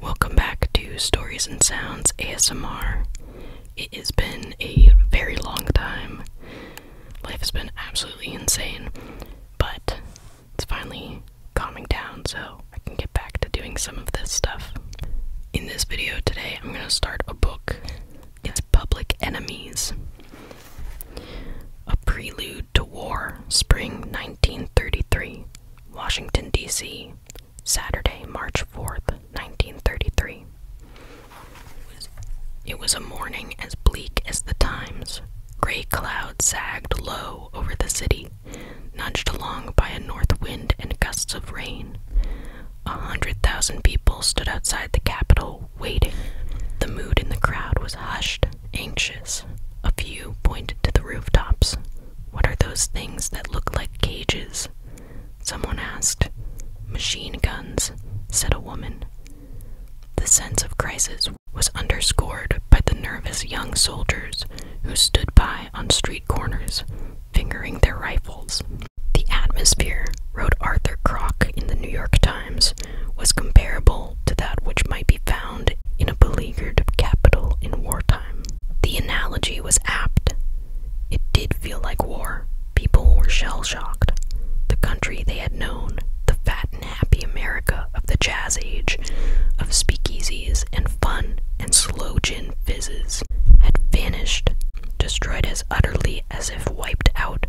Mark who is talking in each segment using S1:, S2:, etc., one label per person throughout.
S1: Welcome back to Stories and Sounds ASMR. It has been a very long time. Life has been absolutely insane, but it's finally calming down so I can get back to doing some of this stuff. In this video today, I'm going to start a book. It's Public Enemies A Prelude to War, Spring 1933 Washington, D.C., Saturday, March 4th, 1933. It was a morning as bleak as the times. Gray clouds sagged low over the city, nudged along by a north wind and gusts of rain. A hundred thousand people stood outside the Capitol waiting. The mood in the crowd was hushed, anxious. A few pointed to the rooftops, what are those things that look like cages? Someone asked. Machine guns, said a woman. The sense of crisis was underscored by the nervous young soldiers who stood by on street corners, fingering their rifles. The atmosphere, wrote Arthur Kroc in the New York Times, was comparable to that which might be found in a beleaguered capital in wartime. The analogy was apt. It did feel like war. People were shell shocked. The country they had known, the fat and happy America of the jazz age, of speakeasies and fun and slow gin fizzes, had vanished, destroyed as utterly as if wiped out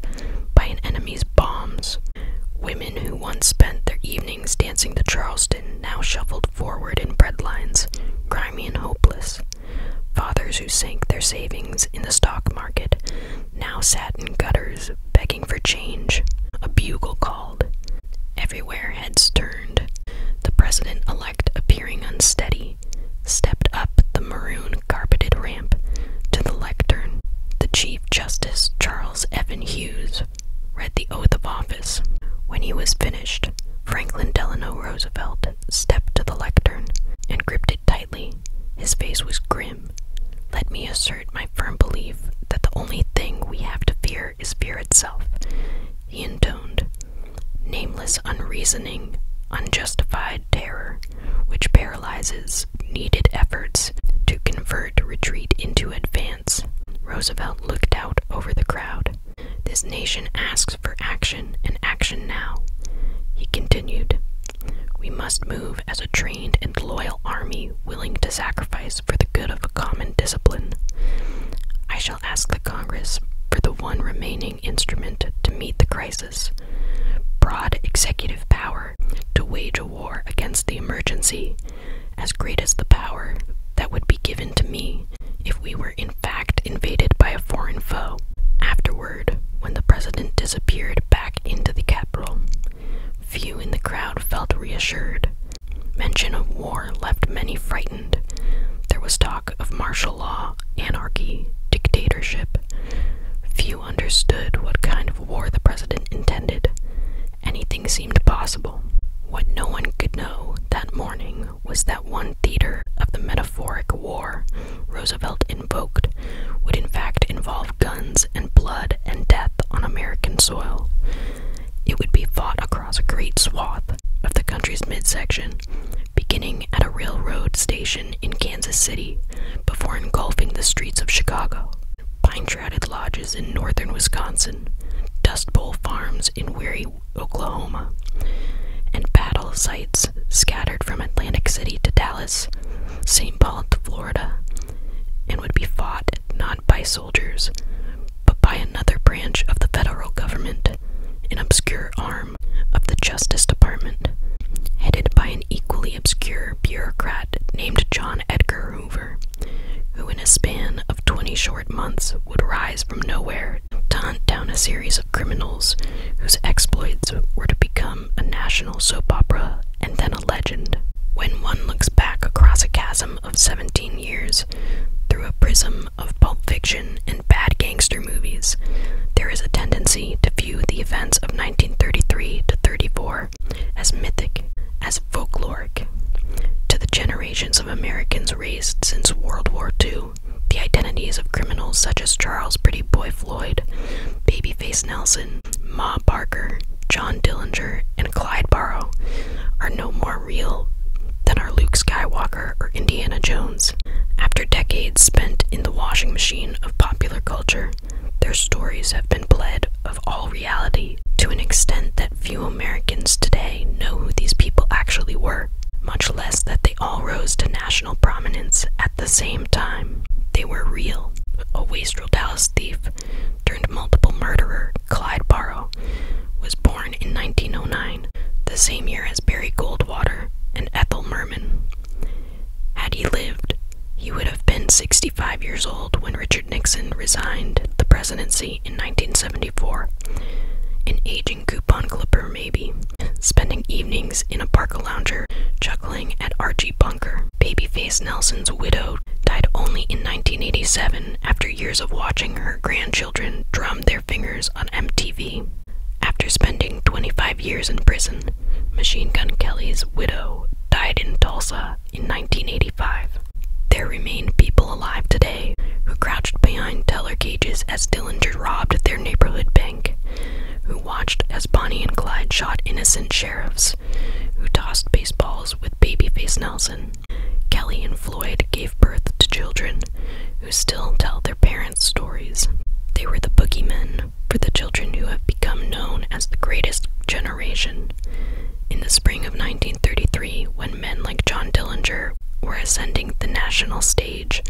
S1: by an enemy's bombs. Women who once spent their evenings dancing to Charleston now shuffled forward in breadlines, grimy and hopeless. Fathers who sank their savings in the stock market now sat in gutters begging for change. A bugle called. Everywhere heads turned. The president elect, appearing unsteady, stepped up the maroon carpeted ramp to the lectern. The Chief Justice Charles Evan Hughes read the oath of office. When he was finished, Franklin Delano Roosevelt stepped to the lectern and gripped it tightly. His face was grim. Let me assert my firm belief that the only thing we have to fear is fear itself, he intoned. Nameless, unreasoning, unjustified terror, which paralyzes needed efforts to convert retreat into advance. Roosevelt looked out over the crowd. This nation asks for action and action now. He continued, We must move as a trained and loyal army willing to sacrifice for the good of a common discipline. I shall ask the Congress for the one remaining instrument to meet the crisis broad executive power to wage a war against the emergency as great as the power that would be given to me if we were in fact invaded by a foreign foe. Afterward, when the president disappeared back into the Capitol, few in the crowd felt reassured. Mention of war left many frightened. There was talk of martial law, anarchy, dictatorship. Few understood what kind of war the president intended, anything seemed possible. What no one could know that morning was that one theater of the metaphoric war Roosevelt invoked would in fact involve guns and blood and death on American soil. It would be fought across a great swath of the country's midsection, beginning at a railroad station in Kansas City before engulfing the streets of Chicago. Pine shrouded lodges in northern Wisconsin Dust Bowl farms in Weary, Oklahoma, and battle sites scattered from Atlantic City to Dallas, St. Paul to Florida, and would be fought not by soldiers, but by another branch of the federal government, an obscure arm of the Justice Department, headed by an equally obscure bureaucrat named John Edgar Hoover who in a span of 20 short months would rise from nowhere to hunt down a series of criminals whose exploits were to become a national soap opera and then a legend. When one looks back across a chasm of 17 years through a prism of pulp fiction and bad gangster movies, there is a tendency to view the events of 1933 to 34 as mythic, as folkloric. To the generations of Americans since World War II. The identities of criminals such as Charles Pretty Boy Floyd, Babyface Nelson, Ma Barker, John Dillinger, and Clyde Barrow are no more real than are Luke Skywalker or Indiana Jones. After decades spent in the washing machine of popular culture, their stories have been bled of all reality to an extent that few Americans today know who these people actually were, much less that they all rose to national prominence at the same time. They were real. A wastrel Dallas thief turned multiple murderer, Clyde Barrow, was born in 1909, the same year as Barry Goldwater and Ethel Merman. Had he lived, he would have been 65 years old when Richard Nixon resigned the presidency in 1974. An aging coupon clipper, maybe. Spending evenings in a park lounger, chuckling at Archie Bunker. Babyface Nelson's widow died only in 1987 after years of watching her grandchildren drum their fingers on MTV. After spending 25 years in prison, Machine Gun Kelly's widow died in Tulsa in 1985. There remain people alive today who crouched behind teller cages as Dillinger robbed their neighborhood bank, who watched as Bonnie and Clyde shot innocent sheriffs, who tossed baseballs with Babyface Nelson. Kelly and Floyd gave birth to children who still tell their parents' stories. They were the boogeymen for the children who have become known as the greatest generation. In the spring of 1933, when men like John Dillinger were ascending the national stage.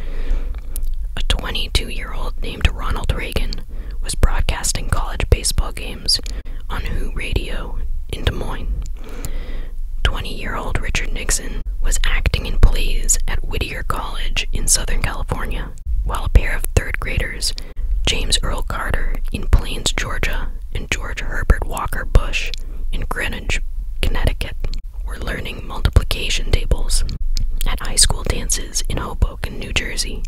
S1: A 22 year old named Ronald Reagan was broadcasting college baseball games on WHO Radio in Des Moines. 20 year old Richard Nixon was acting in plays at Whittier College in Southern California, while a pair of third graders, James Earl Carter in Plains, Georgia, and George Herbert Walker Bush in Greenwich, Connecticut, were learning multiplication tables. At high school dances in Hoboken, New Jersey,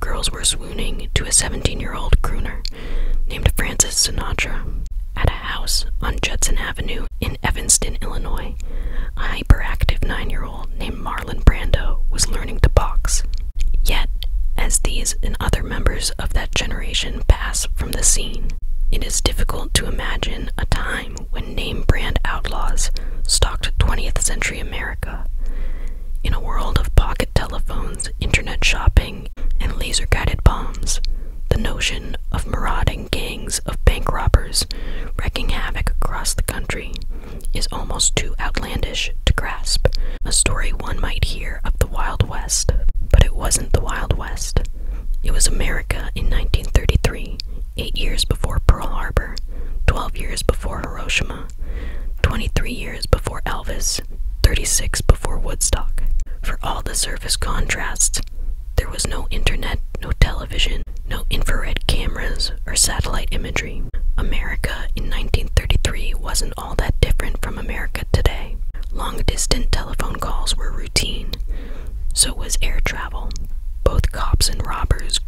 S1: girls were swooning to a 17 year old crooner named Francis Sinatra. At a house on Judson Avenue in Evanston, Illinois, a hyperactive nine year old named Marlon Brando was learning to box. Yet, as these and other members of that generation pass from the scene. It is difficult to imagine a time when name brand outlaws stalked 20th century America. In a world of pocket telephones, internet shopping, and laser guided bombs, the notion of marauding gangs of bank robbers wreaking havoc across the country is almost too outlandish to grasp. A story one might hear of the wild West, but it wasn't the Wild West. It was America in 1933, eight years before Pearl Harbor, 12 years before Hiroshima, 23 years before Elvis, 36 before Woodstock. For all the surface contrasts, there was no internet, no television, no infrared cameras, or satellite imagery. America in 1933 wasn't all that different from America today. Long distance telephone calls were routine, so was air travel. Both cops and robbers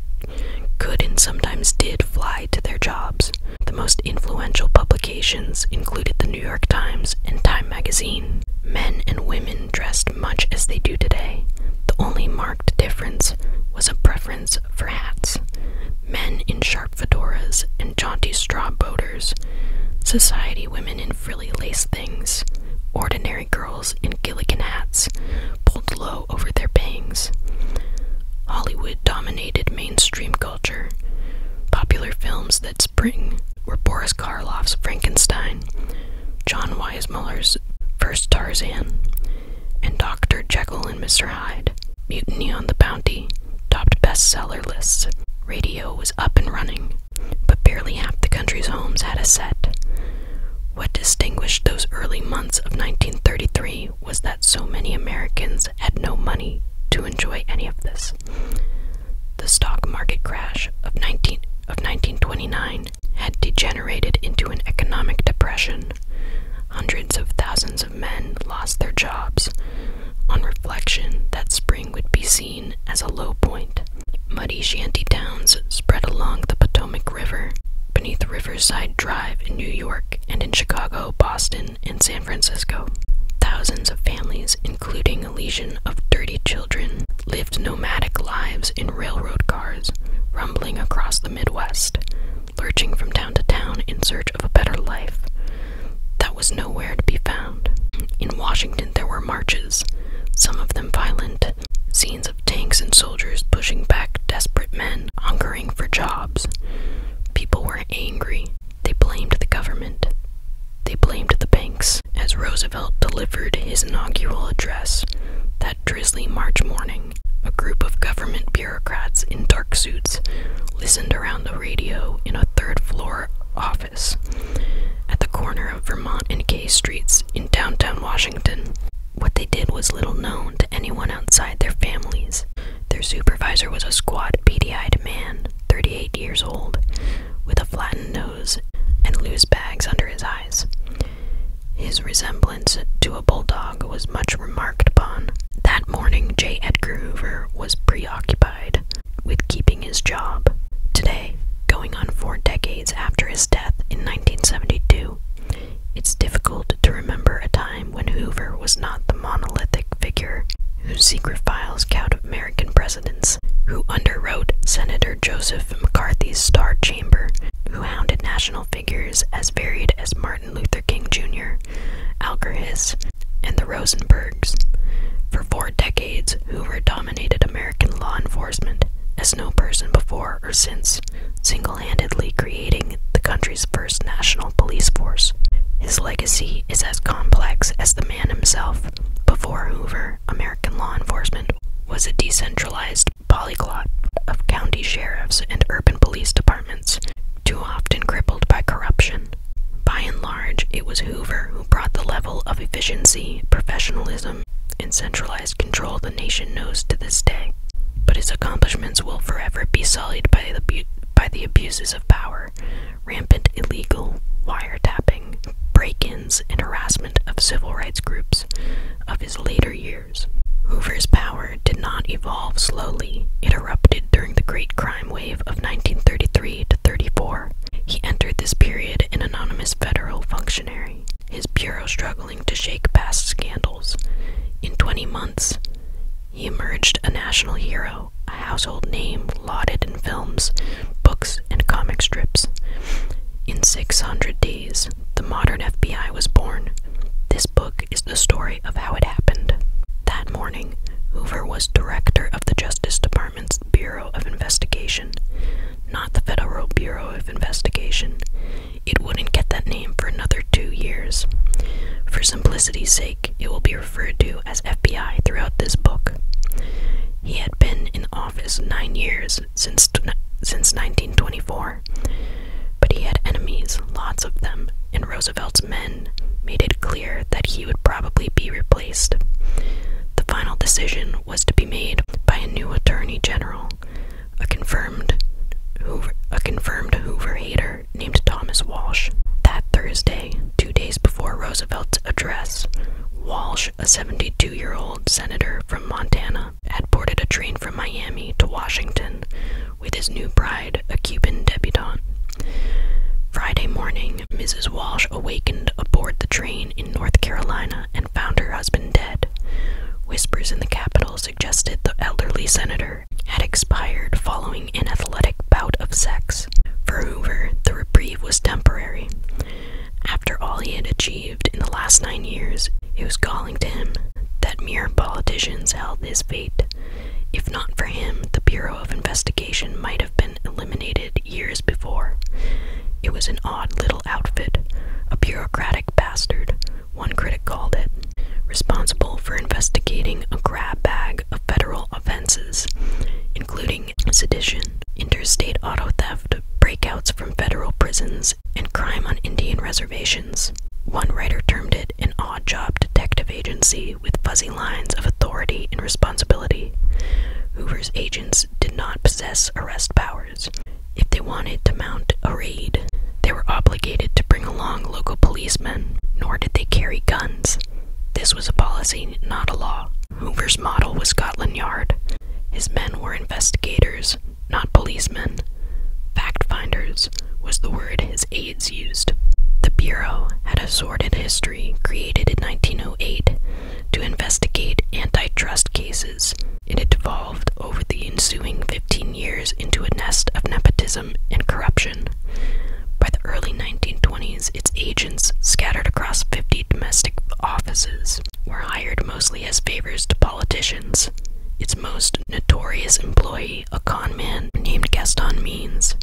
S1: could and sometimes did fly to their jobs. The most influential publications included the New York Times and Time magazine. Men and women dressed much as they do today. The only marked difference was a preference for hats. Men in sharp fedoras and jaunty straw boaters. Society women in frilly lace things, ordinary girls in Gilligan hats, pulled low over their bangs. Hollywood dominated mainstream culture. Popular films that spring were Boris Karloff's Frankenstein, John Weismuller's First Tarzan, and Dr. Jekyll and Mr. Hyde. Mutiny on the Bounty topped bestseller lists. Radio was up and running, but barely half the country's homes had a set. What distinguished those early months of 1933 was that so many Americans had no money to enjoy any of this. The stock market crash of 19 of 1929 had degenerated into an economic depression. Hundreds of thousands of men lost their jobs. On reflection, that spring would be seen as a low point. Muddy shanty towns spread along the Potomac River, beneath Riverside Drive in New York and in Chicago, Boston, and San Francisco. Thousands of families, including a legion of dirty children, lived nomadic lives in railroad cars, rumbling across the Midwest, lurching from town to town in search of a better life, that was nowhere to be found. In Washington, there were marches, some of them violent, scenes of tanks and soldiers pushing back desperate men hungering for jobs. People were angry. They blamed the government. They blamed the banks. As Roosevelt delivered his inaugural address that drizzly March morning, a group of government bureaucrats in dark suits listened around the radio in a third floor office at the corner of Vermont and K Streets in downtown Washington. What they did was little known to anyone outside their families. Their supervisor was a squat, beady eyed man, 38 years old, with a flattened nose and loose bags under his eyes. His resemblance to a bulldog was much remarked upon. That morning, J. Edgar Hoover was preoccupied with keeping his job. Today, going on four decades after his death in 1972, it's difficult to remember a time when Hoover was not the monolithic figure whose secret files cowed American presidents, who underwrote Senator Joseph McCarthy's star chamber, who hounded national figures as varied as Martin Luther King Jr., Alger Hiss, and the Rosenbergs. For four decades, Hoover dominated American law enforcement as no person before or since, single handedly creating the country's first national police force. His legacy is as complex as the man himself. Before Hoover, American law enforcement was a decentralized polyglot of county sheriffs and urban police departments, too often crippled by corruption. By and large, it was Hoover who brought the level of efficiency, professionalism, and centralized control the nation knows to this day. But his accomplishments will forever be sullied by the, by the abuses of power, rampant illegal wiretapping, break ins, and harassment of civil rights groups of his later years. Hoover's power did not evolve slowly, it erupted during the Great Crime Wave of 1933 to 34 he entered this period an anonymous federal functionary, his bureau struggling to shake past scandals. In 20 months, he emerged a national hero, a household name lauded in films, books, and comic strips. In 600 days, the modern FBI was born. This book is the story of how it happened. That morning, Hoover was director of the Justice Department. Department's Bureau of Investigation, not the Federal Bureau of Investigation. It wouldn't get that name for another two years. For simplicity's sake, it will be referred to as FBI throughout this book. He had been in office nine years since, since 1924, but he had enemies, lots of them, and Roosevelt's men made it clear that he would probably be replaced the final decision was to be made by a new attorney general, a confirmed Hoover, a confirmed Hoover hater named Thomas Walsh. That Thursday, two days before Roosevelt's address, Walsh, a 72 year old senator from Montana, had boarded a train from Miami to Washington with his new bride, a Cuban debutante. Friday morning, Mrs. Walsh awakened aboard the train in North Carolina and found her husband dead. Whispers in the Capitol suggested the elderly senator had expired following an athletic bout of sex. For Hoover, the reprieve was temporary. After all he had achieved in the last nine years, it was galling to him that mere politicians held his fate. If not for him, the Bureau of Investigation might have been eliminated years before. It was an odd little outfit, a bureaucratic bastard, one critic called it, responsible for investigating a grab bag of federal offenses, including sedition, interstate auto theft, breakouts from federal prisons, and crime on Indian reservations. One writer termed it an odd job detective agency with fuzzy lines of authority and responsibility. Hoover's agents did not possess arrest powers. If they wanted to mount a raid, they were obligated to bring along local policemen, nor did they carry guns. This was a policy, not a law. Hoover's model was Scotland Yard. His men were investigators, not policemen. Fact finders was the word his aides used. The Bureau had a sordid history created in 1908 to investigate antitrust cases, and it devolved over the ensuing 15 years into a nest of nepotism and corruption. By the early 1920s, its agents, scattered across 50 domestic offices, were hired mostly as favors to politicians. Its most notorious employee, a con man named Gaston Means,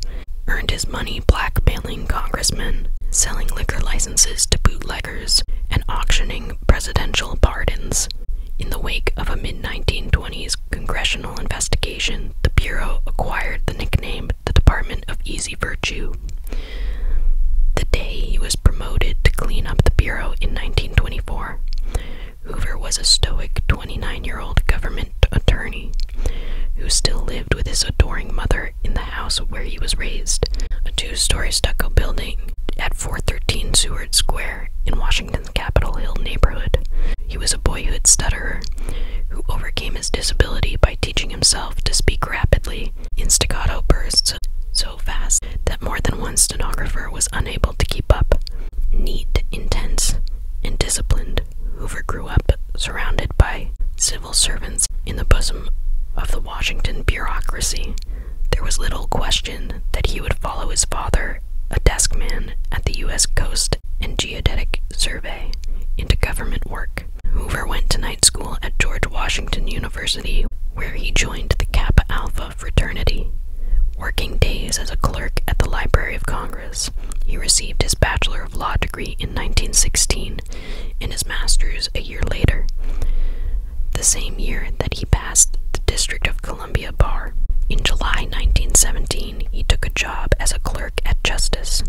S1: earned his money blackmailing congressmen, selling liquor licenses to bootleggers and auctioning presidential pardons. In the wake of a mid 1920s congressional investigation, the Bureau acquired the nickname the Department of Easy Virtue. The day he was promoted to clean up the Bureau in 1924, Hoover was a stoic 29 year old government attorney who still lived with his adoring mother in the house where he was raised, a two story stucco building at 413 Seward Square in Washington's Capitol Hill neighborhood. He was a boyhood stutterer who overcame his disability by teaching himself to speak rapidly in staccato bursts so fast that more than one stenographer was unable to keep up. Neat, intense, and disciplined, Hoover grew up surrounded by servants in the bosom of the Washington bureaucracy, there was little question that he would follow his father, a deskman at the U.S. Coast and Geodetic Survey, into government work. Hoover went to night school at George Washington University, where he joined the Kappa Alpha fraternity. Working days as a clerk at the Library of Congress, he received his Bachelor of Law degree in 1916 Harvard and his master's a year later, the same year that he passed the District of Columbia Bar. In July 1917, he took a job as a clerk at Justice.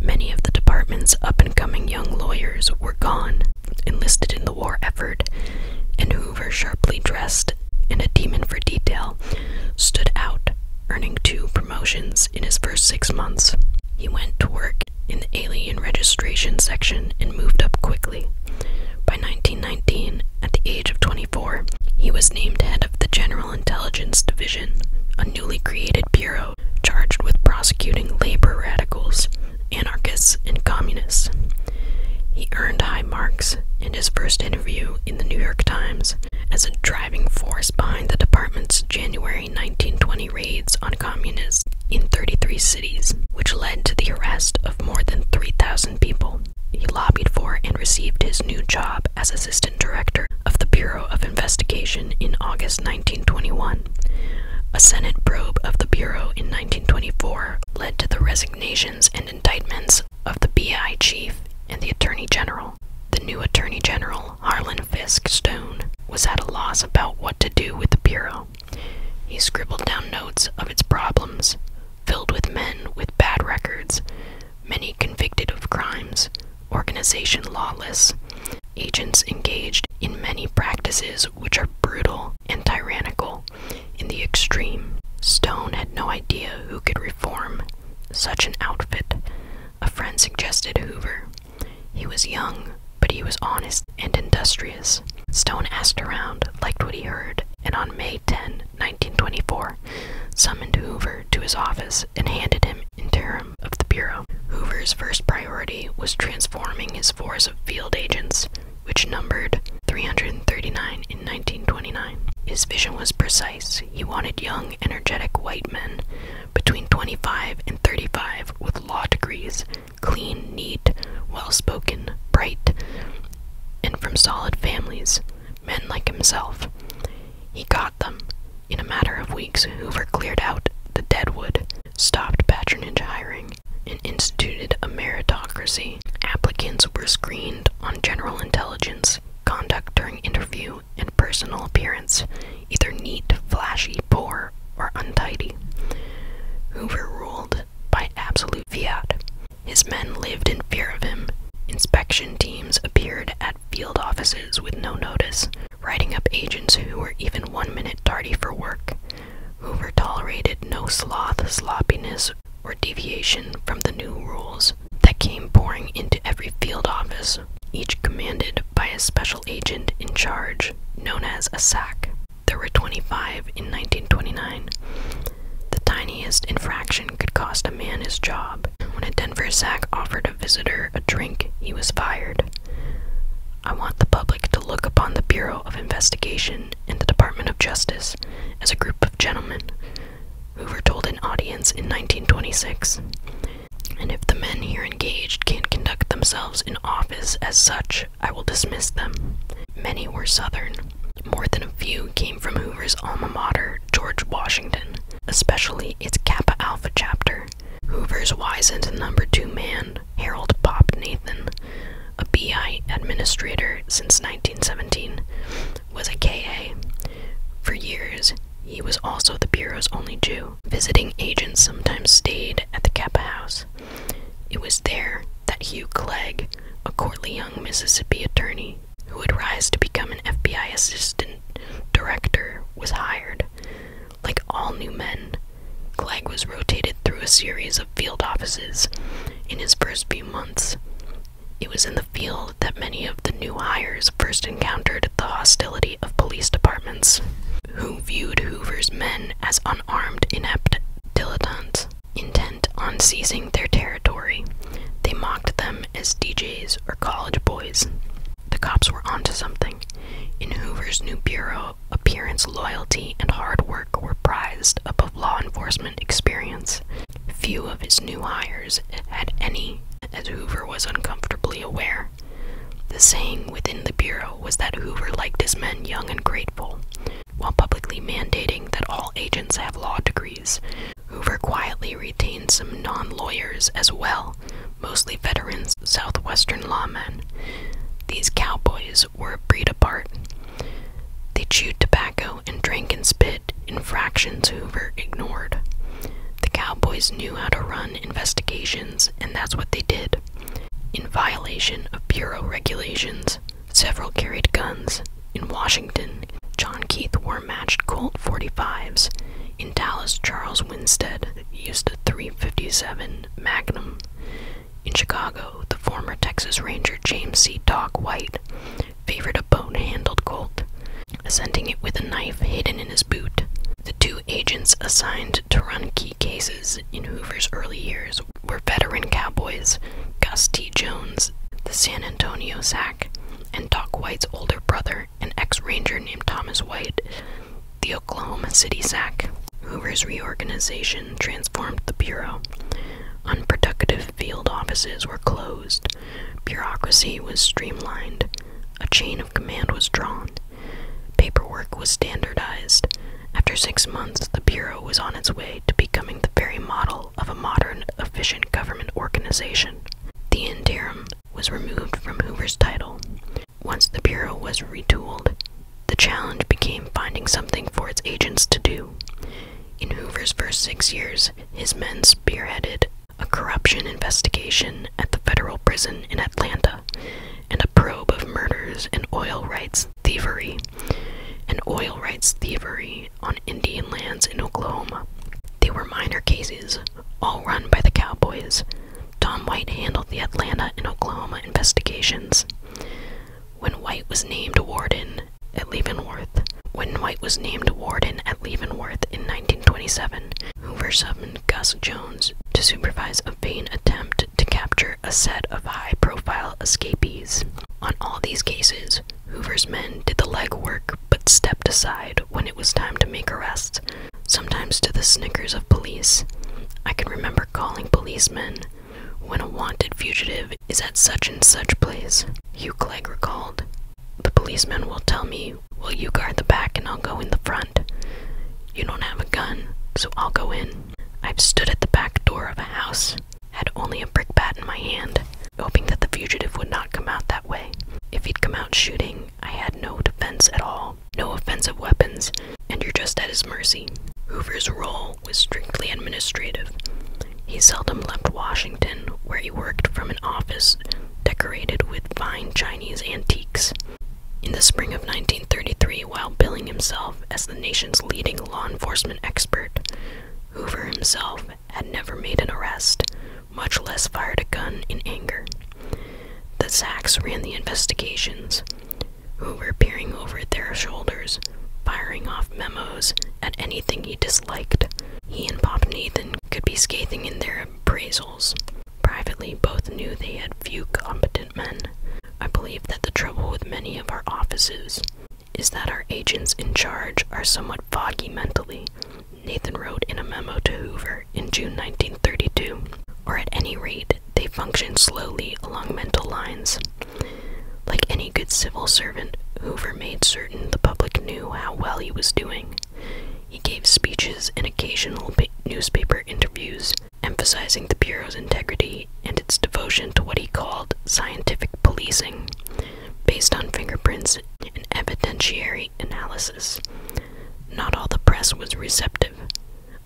S1: Many of the department's up and coming young lawyers were gone, enlisted in the war effort, and Hoover, sharply dressed and a demon for detail, stood out, earning two promotions in his first six months. He went to work in the alien registration section and moved up quickly. By 1919, at the age of 24, he was named head of the General Intelligence Division, a newly created bureau charged with prosecuting labor radicals, anarchists, and communists. He earned high marks in his first interview in the New York Times as a driving force behind the department's January 1920 raids on communists in 33 cities, which led to the arrest of more than 3,000 people. He lobbied for and received his new job as assistant director of the Bureau of Investigation in August 1921. A Senate probe of the Bureau in 1924 led to the resignations and indictments of the BI chief and the Attorney General. The new Attorney General, Harlan Fisk Stone, was at a loss about what to do with the Bureau. He scribbled down notes of its problems, filled with men with bad records, many convicted of crimes, organization lawless, agents engaged in many practices which are brutal and tyrannical in the extreme. Stone had no idea who could reform such an outfit. A friend suggested Hoover. He was young, but he was honest and industrious. Stone asked around, liked what he heard, and on May 10, 1924, summoned Hoover to his office and handed him interim of the Bureau. Hoover's first priority was transforming his force of field agents, which numbered 339 in 1929. His vision was precise. He wanted young, energetic white men between 25 and 35 with law degrees, clean, neat, well spoken, bright, and from solid families, men like himself. He got them. In a matter of weeks, Hoover cleared out the deadwood, stopped patronage hiring, and instituted a meritocracy. Applicants were screened on general intelligence, conduct during interview, value and personal appearance, either neat, flashy, poor, or untidy. Hoover ruled by absolute fiat. His men lived in fear of him. Inspection teams appeared at field offices with no notice, writing up agents who were even one minute tardy for work. Hoover tolerated no sloth, sloppiness, or deviation from the new rules that came pouring into every field office each commanded by a special agent in charge known as a SAC. There were 25 in 1929. The tiniest infraction could cost a man his job. When a Denver SAC offered a visitor a drink, he was fired. I want the public to look upon the Bureau of Investigation and the Department of Justice as a group of gentlemen. Hoover told an audience in 1926. And if the men here engaged can't conduct themselves in office as such, I will dismiss them. Many were Southern. More than a few came from Hoover's alma mater, George Washington, especially its Kappa Alpha chapter. Hoover's wizened number two man, Harold Pop Nathan, a BI administrator since 1917, was a KA. For years, he was also the Bureau's only Jew. Visiting agents sometimes stayed at the Kappa House. It was there that Hugh Clegg, a courtly young Mississippi attorney who would rise to become an FBI assistant director, was hired. Like all new men, Clegg was rotated through a series of field offices in his first few months. It was in the field that many of the new hires first encountered the hostility of police departments who viewed Hoover's men as unarmed, inept dilettantes intent on seizing their territory. They mocked them as DJs or college boys. The cops were onto something. In Hoover's new bureau, appearance, loyalty, and hard work were prized above law enforcement experience. Few of his new hires had any, as Hoover was uncomfortably aware. The saying within the Bureau was that Hoover liked his men young and grateful. While publicly mandating that all agents have law degrees, Hoover quietly retained some non lawyers as well, mostly veterans, Southwestern lawmen. These cowboys were a breed apart. They chewed tobacco and drank and spit, infractions Hoover ignored. The cowboys knew how to run investigations and that's what they did. In violation of Bureau regulations, several carried guns. In Washington, John Keith wore matched Colt 45s. In Dallas, Charles Winstead used a 357 Magnum. In Chicago, the former Texas Ranger James C. Doc White favored a bone-handled Colt, assenting it with a knife hidden in his boot. The two agents assigned to run key cases in Hoover's early years were veteran cowboys Gus T. Jones, the San Antonio SAC, and Doc White's older brother, an ex ranger named Thomas White, the Oklahoma City SAC. Hoover's reorganization transformed the Bureau. Unproductive field offices were closed, bureaucracy was streamlined, a chain of command was drawn, Paperwork was standardized. After six months, the Bureau was on its way to becoming the very model of a modern, efficient government organization. The interim was removed from Hoover's title. Once the Bureau was retooled, the challenge became finding something for its agents to do. In Hoover's first six years, his men spearheaded a corruption investigation at the federal prison in Atlanta and a probe of murders and oil rights thievery, and oil rights thievery on Indian lands in Oklahoma. They were minor cases, all run by the Cowboys. Tom White handled the Atlanta and Oklahoma investigations. When White was named warden at Leavenworth, when White was named warden at Leavenworth in 1927, Hoover summoned Gus Jones to supervise a vain attempt to capture a set of high profile escapees. On all these cases, Hoover's men did the legwork but stepped aside when it was time to make arrests, sometimes to the snickers of police. I can remember calling policemen when a wanted fugitive is at such and such place, Hugh Clegg recalled. The policeman will tell me you. Will you guard the back and I'll go in the front? You don't have a gun, so I'll go in. I've stood at the back door of a house, had only a brick bat in my hand, hoping that the fugitive would not come out that way. If he'd come out shooting, I had no defense at all, no offensive weapons, and you're just at his mercy. Hoover's role was strictly administrative. He seldom left Washington, where he worked from an office decorated with fine Chinese antiques. In the spring of 1933, while billing himself as the nation's leading law enforcement expert, Hoover himself had never made an arrest, much less fired a gun in anger. The Zacks ran the investigations, Hoover peering over their shoulders, firing off memos at anything he disliked. He and Pop Nathan could be scathing in their appraisals. Privately, both knew they had few competent men. I believe that the trouble with many of our offices is that our agents in charge are somewhat foggy mentally, Nathan wrote in a memo to Hoover in June 1932, or at any rate, they function slowly along mental lines. Like any good civil servant, Hoover made certain the public knew how well he was doing. He gave speeches and occasional newspaper interviews, emphasizing the Bureau's integrity and its devotion to what he called scientific policing, based on fingerprints and evidentiary analysis. Not all the press was receptive.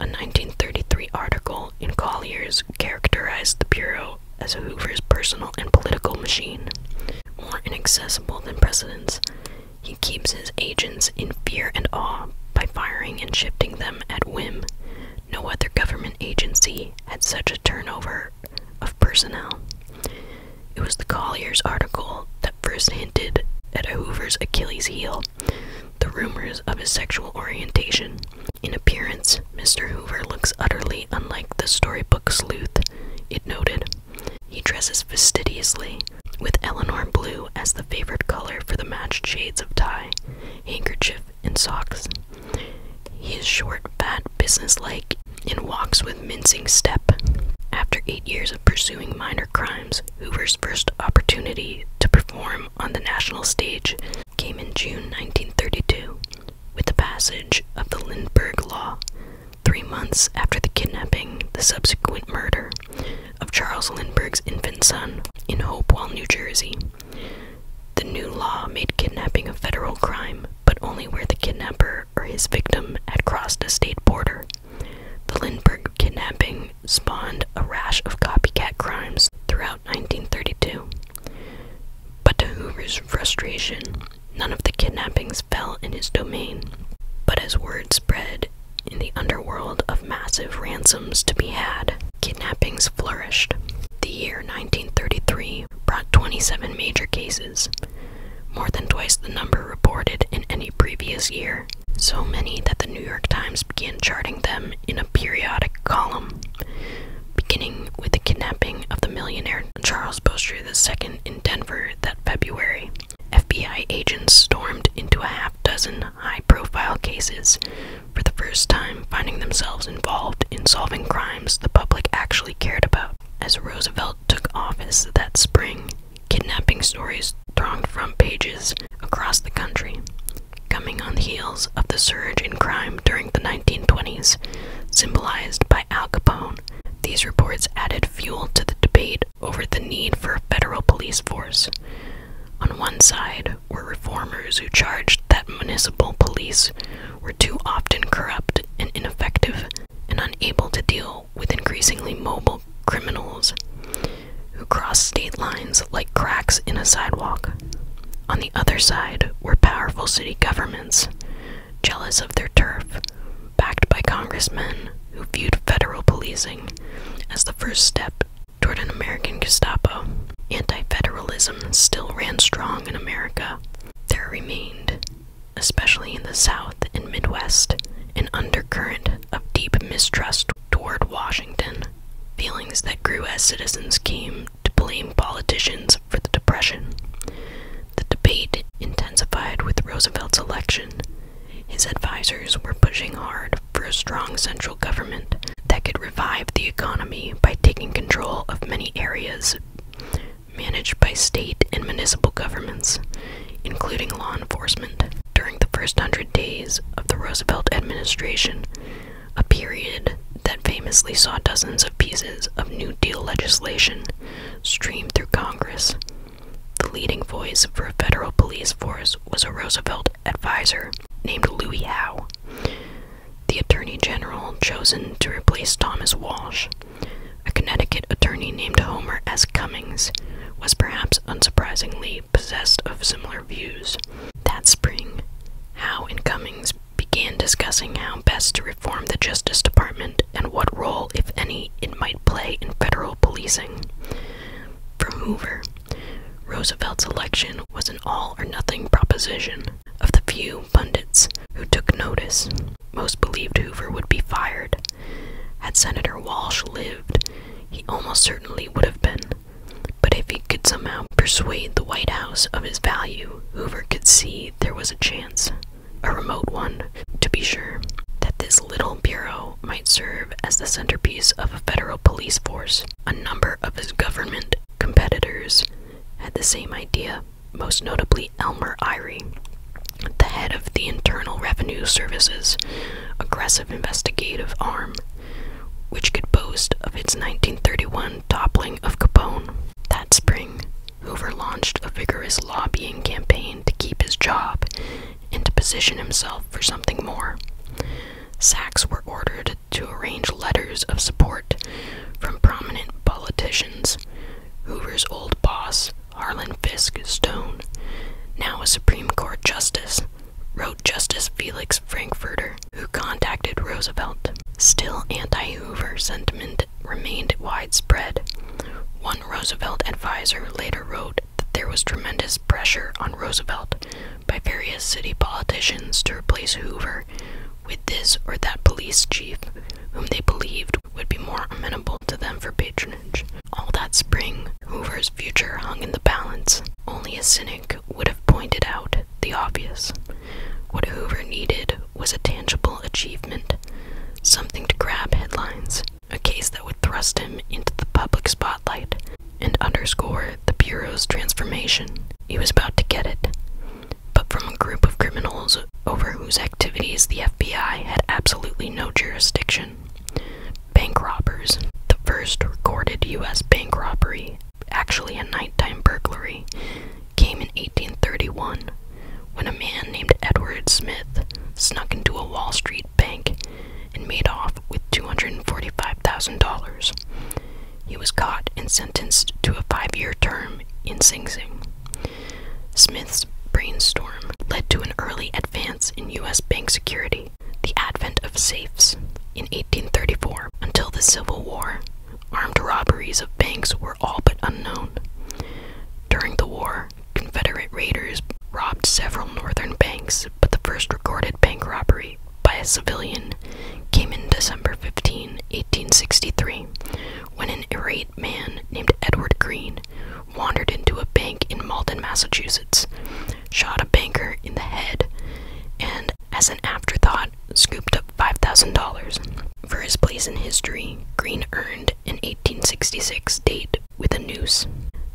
S1: A 1933 article in Collier's characterized the Bureau as Hoover's personal and political machine, more inaccessible than presidents. He keeps his agents in fear and awe by firing and shifting them at whim. No other government agency had such a turnover of personnel. It was the Collier's article that first hinted at Hoover's Achilles heel, the rumors of his sexual orientation. In appearance, Mr. Hoover looks utterly unlike the storybook sleuth, it noted. He dresses fastidiously, with Eleanor blue as the favorite color for the matched shades of tie, handkerchief, and socks. He is short, fat, businesslike, and walks with mincing step. After eight years of pursuing minor crimes, Hoover's first opportunity to perform on the national stage came in June 1932 with the passage of the Lindbergh Law, three months after the kidnapping, the subsequent murder, of Charles Lindbergh's infant son in Hopewell, New Jersey. The new law made kidnapping a federal crime, but only where the kidnapper or his victim had crossed a state border. The Lindbergh kidnapping spawned a rash of copycat crimes throughout 1932. But to Hoover's frustration, none of the kidnappings fell in his domain. But as word spread in the underworld of massive ransoms to be had, kidnappings flourished. The year 1933 brought 27 major cases, more than twice the number reported in any previous year, so many that the New York Times began charting them in a periodic column, beginning with the kidnapping of the millionaire Charles Bostre II in Denver that February. FBI agents stormed into a half dozen high profile cases, for the first time finding themselves involved in solving crimes the public actually cared about. As Roosevelt took office that spring, kidnapping stories thronged front pages across the country. Coming on the heels of the surge in crime during the 1920s, symbolized by Al Capone, these reports added fuel to the debate over the need for a federal police force. On one side were reformers who charged that municipal police were too often corrupt and ineffective and unable to deal with increasingly mobile criminals who crossed state lines like cracks in a sidewalk. On the other side were powerful city governments, jealous of their turf, backed by congressmen who viewed federal policing as the first step Toward an American Gestapo, anti federalism still ran strong in America. There remained, especially in the South and Midwest, an undercurrent of deep mistrust toward Washington, feelings that grew as citizens came to blame politicians for the Depression. The debate intensified with Roosevelt's election his advisors were pushing hard for a strong central government that could revive the economy by taking control of many areas managed by state and municipal governments, including law enforcement. During the first hundred days of the Roosevelt administration, a period that famously saw dozens of pieces of New Deal legislation stream through Congress. The leading voice for a federal police force was a Roosevelt advisor named Louis Howe, the attorney general chosen to replace Thomas Walsh. A Connecticut attorney named Homer S. Cummings was perhaps unsurprisingly possessed of similar views. That spring, Howe and Cummings began discussing how best to reform the Justice Department and what role, if any, it might play in federal policing. For Roosevelt's election was an all or nothing proposition. Of the few pundits who took notice, most believed Hoover would be fired. Had Senator Walsh lived, he almost certainly would have been. But if he could somehow persuade the White House of his value, Hoover could see there was a chance, a remote one, to be sure, that this this little bureau might serve as the centerpiece of a federal police force. A number of his government competitors had the same idea, most notably Elmer Irie, the head of the Internal Revenue Service's aggressive investigative arm, which could boast of its 1931 toppling of Capone. That spring, Hoover launched a vigorous lobbying campaign to keep his job and to position himself for something more. Sacks were ordered to arrange letters of support from prominent politicians. Hoover's old boss, Harlan Fisk Stone, now a Supreme Court Justice, wrote Justice Felix Frankfurter, who contacted Roosevelt. Still, anti Hoover sentiment remained widespread. One Roosevelt advisor later wrote that there was tremendous pressure on Roosevelt by various city politicians to replace Hoover with this or that police chief whom they believed would be more amenable to them for patronage. All that spring, Hoover's future hung in the balance. Only a cynic would have pointed out the obvious. What Hoover needed was a tangible achievement, something to grab headlines, a case that would thrust him into the public spotlight and underscore the Bureau's transformation. He was about to get it, but from a group of criminals over whose activities the FBI had absolutely no jurisdiction. Bank robbers. The first recorded U.S. bank robbery, actually a nighttime burglary, came in 1831 when a man named Edward Smith snuck into a Wall Street Bank and made off with $245,000. He was caught and sentenced to a five year term in Sing Sing. Smith's brainstorm led to an early advance in U.S. bank security, the advent of safes in 1834. Until the Civil War, armed robberies of banks were all but unknown. During the war, Confederate raiders robbed several northern banks but the first recorded bank robbery by a civilian came in December 15, 1863, when an irate man named Edward Green wandered into a bank in Malden, Massachusetts, shot a banker in the head, and, as an afterthought, scooped up $5,000. For his place in history, Green earned an 1866 date with a noose,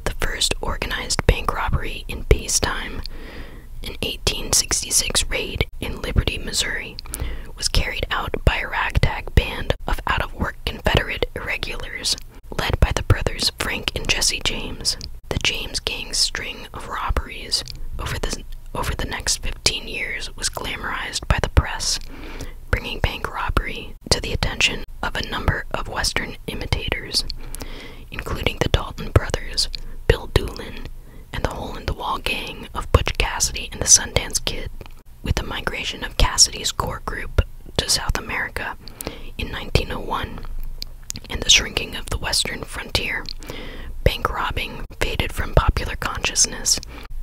S1: the first organized bank robbery in time, An 1866 raid in Liberty, Missouri, was carried out by a ragtag band of out of work Confederate irregulars led by the brothers Frank and Jesse James. The James gang's string of robberies over the, over the next 15 years was glamorized by the press, bringing bank robbery to the attention of a number of Western imitators, including the Dalton brothers, Bill Doolin, and the Hole in the Wall gang of Butch Cassidy and the Sundance Kid. With the migration of Cassidy's core group to South America in 1901 and the shrinking of the western frontier, bank robbing faded from popular consciousness.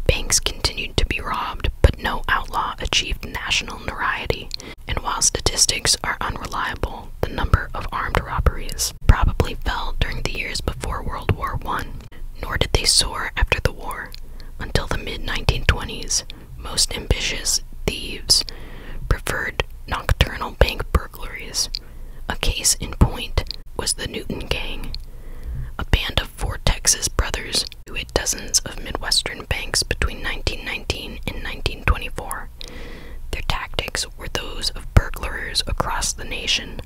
S1: Banks continued to be robbed, but no outlaw achieved national notoriety and while statistics are unreliable, the number of armed robberies probably fell during the years before World War I, nor did they soar after the war. Until the mid 1920s, most ambitious thieves preferred nocturnal bank burglaries. A case in point was the Newton Gang, a band of four Texas brothers who hit dozens of Midwestern banks between 1919 and 1924. Their tactics were those of burglars across the nation.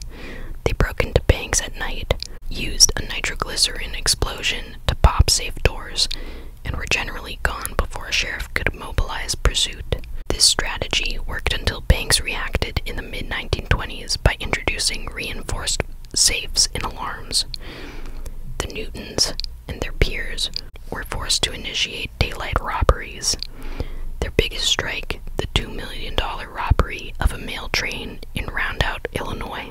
S1: They broke into banks at night, used a nitroglycerin explosion to pop safe doors, and were generally gone before a sheriff could mobilize pursuit. This strategy worked until banks reacted in the mid 1920s by introducing reinforced safes and alarms. The Newtons and their peers were forced to initiate daylight robberies. Their biggest strike, the $2 million robbery of a mail train in Roundout, Illinois,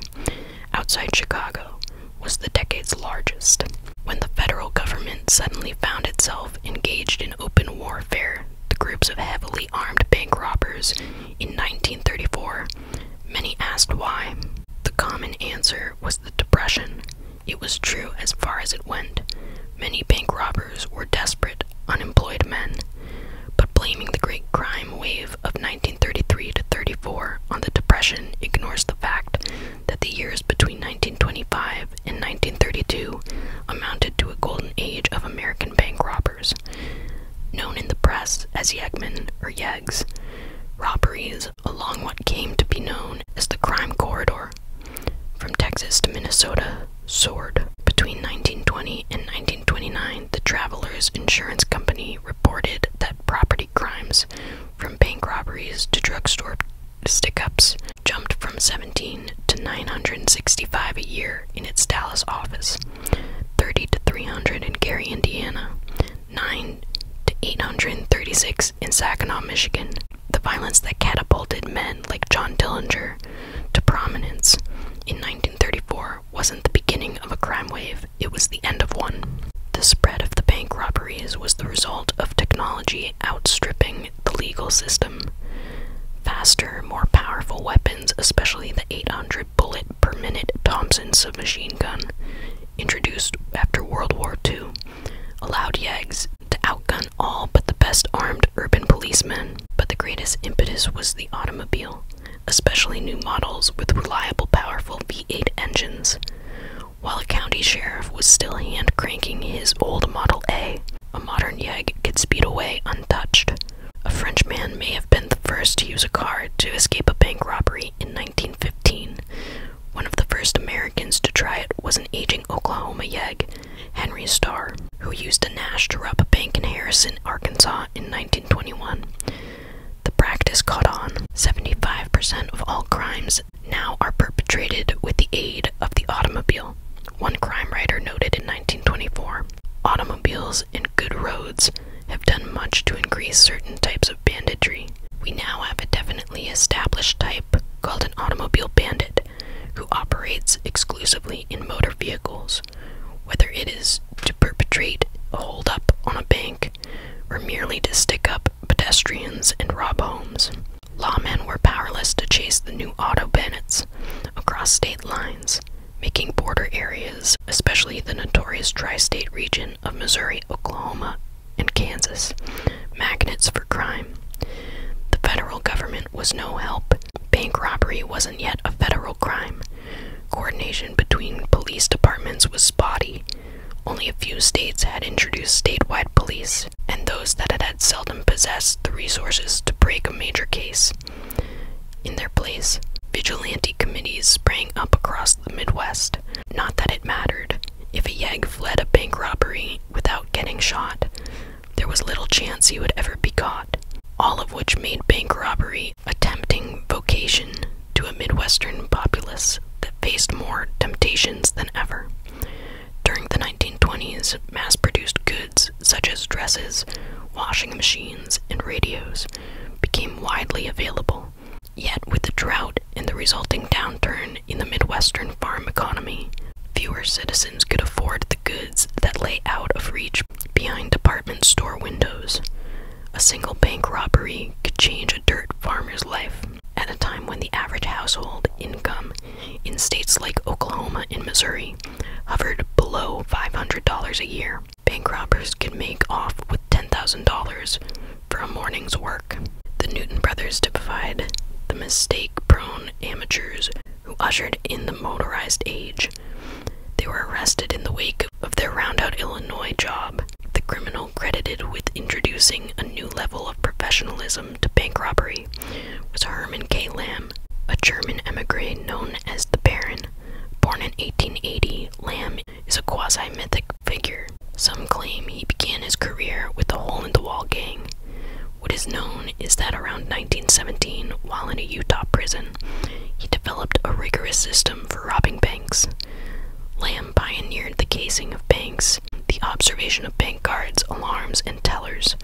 S1: outside Chicago, was the decade's largest. When the federal government suddenly found itself engaged in open warfare, the groups of heavily armed bank robbers in 1934, many asked why. The common answer was the Depression it was true as far as it went. Many bank robbers were desperate, unemployed men, but blaming the great crime wave of 1933 to 34 on the Depression ignores the fact that the years between 1925 and 1932 amounted to a golden age of American bank robbers. Known in the press as Yegmen or Yeggs, robberies along what came to be known as the Crime Corridor. From Texas to Minnesota soared. Between 1920 and 1929, the Travelers Insurance Company reported that property crimes, from bank robberies to drugstore stick ups, jumped from 17 to 965 a year in its Dallas office, 30 to 300 in Gary, Indiana, 9 to 836 in Saginaw, Michigan, the violence that catapulted men like John Dillinger to prominence in 1934 wasn't the beginning of a crime wave, it was the end of one. The spread of the bank robberies was the result of technology outstripping the legal system. Faster, more powerful weapons, especially the 800 bullet per minute Thompson submachine gun, introduced after World War II, allowed Yeggs to outgun all but the best armed urban policemen. But the greatest impetus was the automobile, especially new models with reliable, powerful V8 engines. While a county sheriff was still hand cranking his old Model A, a modern Yegg could speed away untouched. A Frenchman may have been the first to use a car to escape a bank robbery in 1915, one of the first Americans to try it was an aging Oklahoma yegg, Henry Starr, who used a Nash to rob a bank in Harrison, Arkansas in 1921. The practice caught on. 75% of all crimes now are perpetrated with the aid of the automobile, one crime writer noted in 1924. Automobiles and good roads have done much to increase certain types of banditry. We now have a definitely established type called an automobile bandit who operates exclusively in motor vehicles, whether it is to perpetrate a holdup on a bank or merely to stick up pedestrians and rob homes. Lawmen were powerless to chase the new auto bandits across state lines, making border areas, especially the notorious tri state region of Missouri, Oklahoma, in Kansas, magnets for crime. The federal government was no help. Bank robbery wasn't yet a federal crime. Coordination between police departments was spotty. Only a few states had introduced statewide police, and those that had, had seldom possessed the resources to break a major case. In their place, vigilante committees sprang up across the Midwest. Not that it mattered. If a yegg fled a bank robbery without getting shot, there was little chance he would ever be caught, all of which made bank robbery a tempting vocation to a Midwestern populace that faced more temptations than ever. During the 1920s, mass produced goods such as dresses, washing machines, and radios became widely available, Yet, with the drought and the resulting downturn in the Midwestern farm economy, fewer citizens could afford the goods that lay out of reach behind department store windows. A single bank robbery could change a dirt farmer's life at a time when the average household income in states like Oklahoma and Missouri hovered below $500 a year. Bank robbers could make off with $10,000 for a morning's work. The Newton brothers typified the mistake prone amateurs who ushered in the motorized age. They were arrested in the wake of their roundout Illinois job, the criminal credited with introducing a new level of professionalism to bank robbery was Herman K. Lamb, a German emigre known as the Baron. Born in 1880, Lamb is a quasi-mythic figure. Some claim he began his career with the Hole in the Wall gang. What is known is that around 1917, while in a Utah prison, he developed a rigorous system for robbing banks. Lamb pioneered the casing of banks, the observation of bank guards, alarms, and tellers.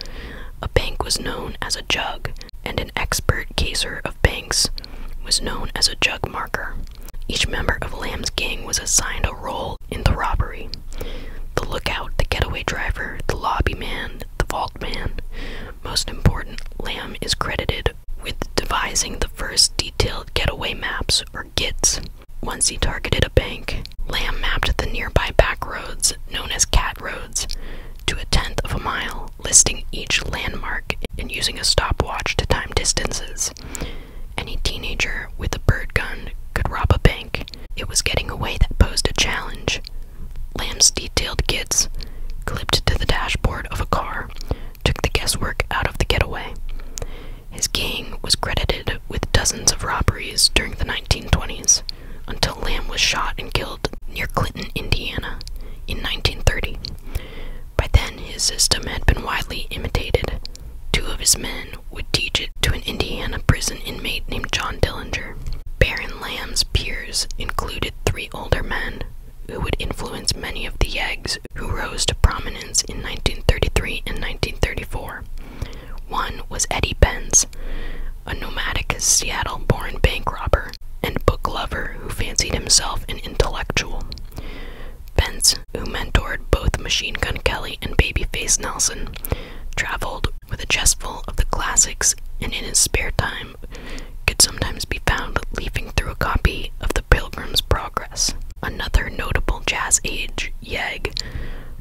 S1: A bank was known as a jug, and an expert caser of banks was known as a jug marker. Each member of Lamb's gang was assigned a role in the robbery. The lookout, the getaway driver, the lobby man, the vault man. Most important, Lamb is credited with devising the first detailed getaway maps, or GITs. Once he targeted a bank, Lamb mapped the nearby back roads, known as cat roads, to a tenth of a mile, listing each landmark and using a stopwatch to time distances. Any teenager with a bird gun could rob a bank. It was getting away that posed a challenge. Lamb's detailed kits clipped to the dashboard of a car took the guesswork out of the getaway. His gang was credited with dozens of robberies during the 1920s until Lamb was shot and killed near Clinton, Indiana in 1930. By then, his system had been widely imitated. Two of his men would teach it to an Indiana prison inmate named John Dillinger. Baron Lamb's peers included three older men who would influence many of the Yeggs who rose to prominence in 1933 and 1934. One was Eddie Benz, a nomadic Seattle born bank robber and book lover who fancied himself an intellectual. Benz who mentored both Machine Gun Kelly and Babyface Nelson, traveled with a chest full of the classics and in his spare time could sometimes be found leafing through a copy of The Pilgrim's Progress. Another notable jazz age yegg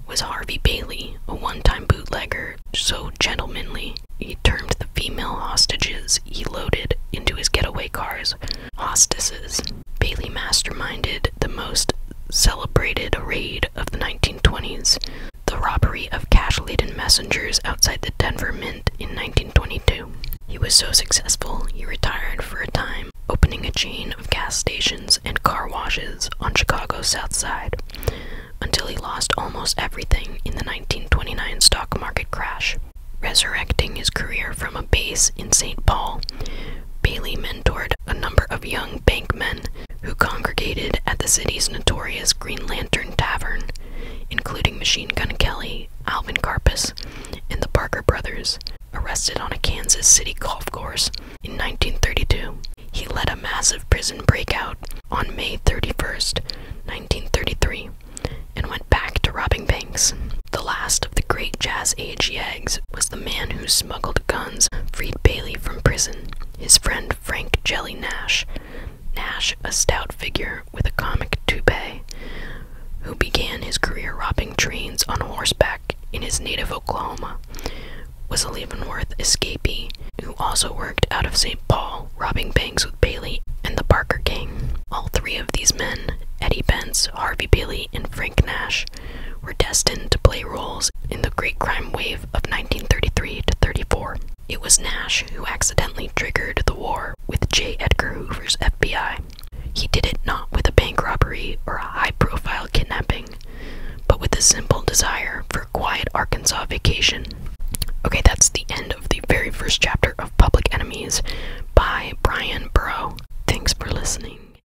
S1: was Harvey Bailey, a one time bootlegger so gentlemanly he termed the female hostages he loaded into his getaway cars hostesses. Bailey masterminded the most celebrated raid of the 1920s, the robbery of cash laden messengers outside the Denver Mint in 1922. He was so successful, he retired for a time, opening a chain of gas stations and car washes on Chicago's South Side, until he lost almost everything in the 1929 stock market crash. Resurrecting his career from a base in St. Paul, Bailey mentored a number of young bankmen who congregated at the city's notorious Green Lantern Tavern, including Machine Gun Kelly, Alvin Carpus, and the Parker brothers, arrested on a Kansas City golf course in 1932. He led a massive prison breakout on May 31st, 1933, and went back to robbing banks. The last of the great jazz age Yeggs was the man who smuggled guns freed Bailey from prison, his friend Frank Jelly Nash. Nash, a stout figure with a comic toupee, who began his career robbing trains on horseback in his native Oklahoma, was a Leavenworth escapee who also worked out of St. Paul, robbing banks with Bailey and the Barker Gang. All three of these men, Eddie Bence, Harvey Bailey, and Frank Nash, were destined to play roles in the great crime wave of 1933 to 34. It was Nash who accidentally triggered the war with J. Edgar Hoover's FBI. He did it not with a bank robbery or a high profile kidnapping, but with a simple desire for a quiet Arkansas vacation. Okay, that's the end of the very first chapter of Public Enemies by Brian Burrow. Thanks for listening.